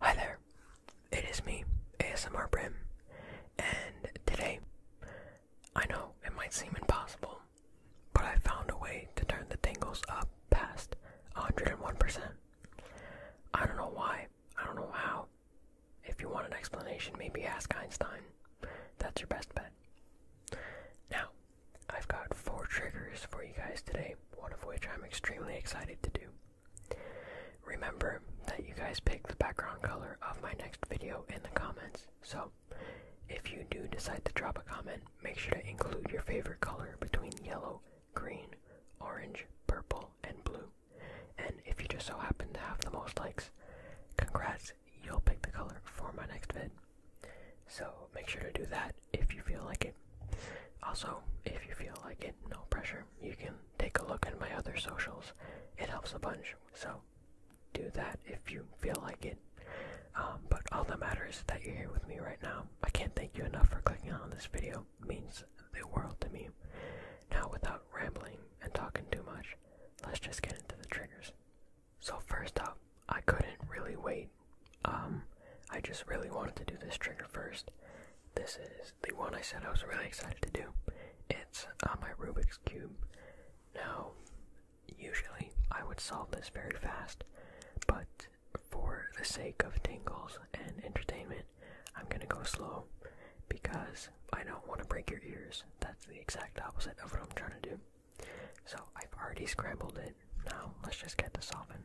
Hi there, it is me, ASMR Brim, and today, I know it might seem impossible, but I found a way to turn the tangles up past 101%. I don't know why, I don't know how. If you want an explanation, maybe ask Einstein. That's your best bet. Now, I've got four triggers for you guys today, one of which I'm extremely excited to do. Remember that you guys pick the background color of my next video in the comments, so if you do decide to drop a comment, make sure to include your favorite color between yellow, green, orange, purple, and blue. And if you just so happen to have the most likes, congrats, you'll pick the color for my next vid. So make sure to do that if you feel like it. Also, if you feel like it, no pressure, you can take a look at my other socials. It helps a bunch, so do that if you feel like it. Um, but all that matters is that you're here with me right now. I can't thank you enough for clicking on this video. means the world to me. Now, without rambling and talking too much, let's just get into the triggers. So, first up, I couldn't really wait um, I just really wanted to do this trigger first. This is the one I said I was really excited to do. It's on uh, my Rubik's Cube. Now, usually I would solve this very fast, but for the sake of tingles and entertainment, I'm gonna go slow because I don't want to break your ears. That's the exact opposite of what I'm trying to do. So I've already scrambled it. Now let's just get to solving.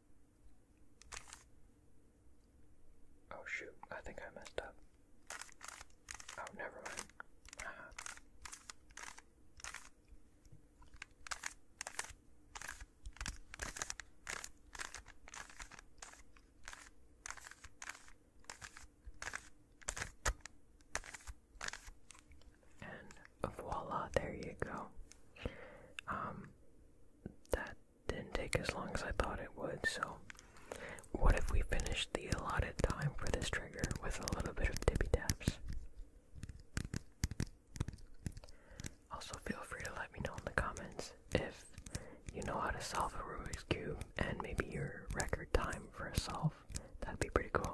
Oh shoot, I think I messed up. Oh, never mind. Ah. And voila, there you go. Um, that didn't take as long as I thought it would, so what if we finish the allotted time for this trigger with a little bit of tippy taps? Also, feel free to let me know in the comments if you know how to solve a Rubik's Cube and maybe your record time for a solve. That'd be pretty cool.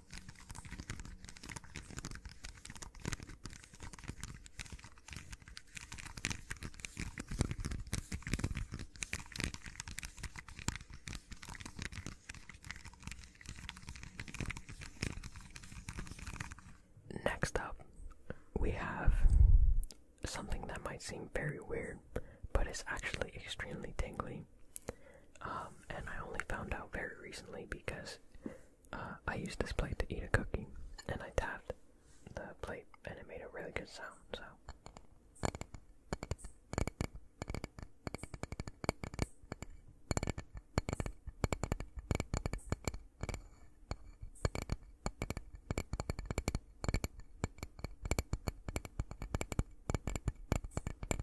Next up, we have something that might seem very weird, but is actually extremely tingly. Um, and I only found out very recently because uh, I used this plate to eat a cookie, and I tapped the plate, and it made a really good sound. So.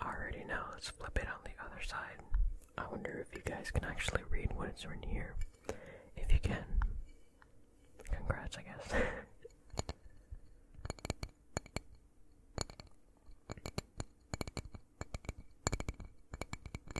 Already now, let's flip it on the other side. I wonder if you guys can actually read what is written here. If you can, congrats, I guess.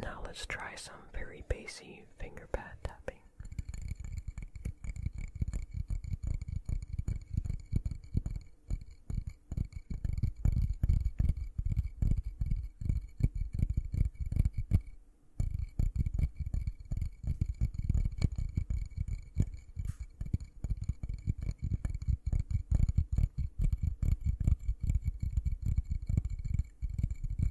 Now let's try some very bassy finger pad tapping.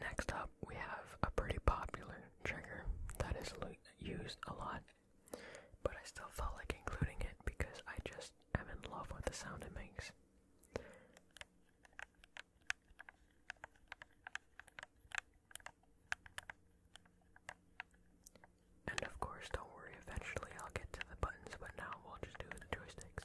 Next up, we have a pretty popular trigger that is used a lot, but I still felt like including it because I just am in love with the sound it makes. And of course, don't worry, eventually I'll get to the buttons, but now we'll just do the joysticks.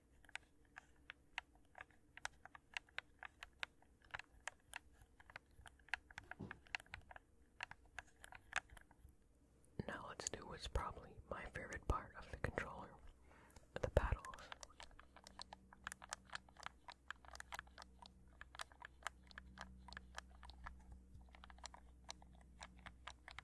Now let's do what's probably my favorite part of the controller, the paddles.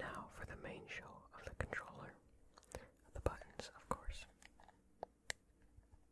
Now for the main show of the controller. The buttons, of course.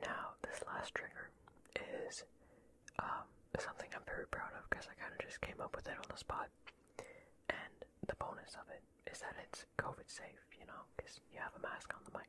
Now, this last trigger is um, something I'm very proud of because I kind of just came up with it on the spot. And the bonus of it is that it's COVID safe, you know, because you have a mask on the mic.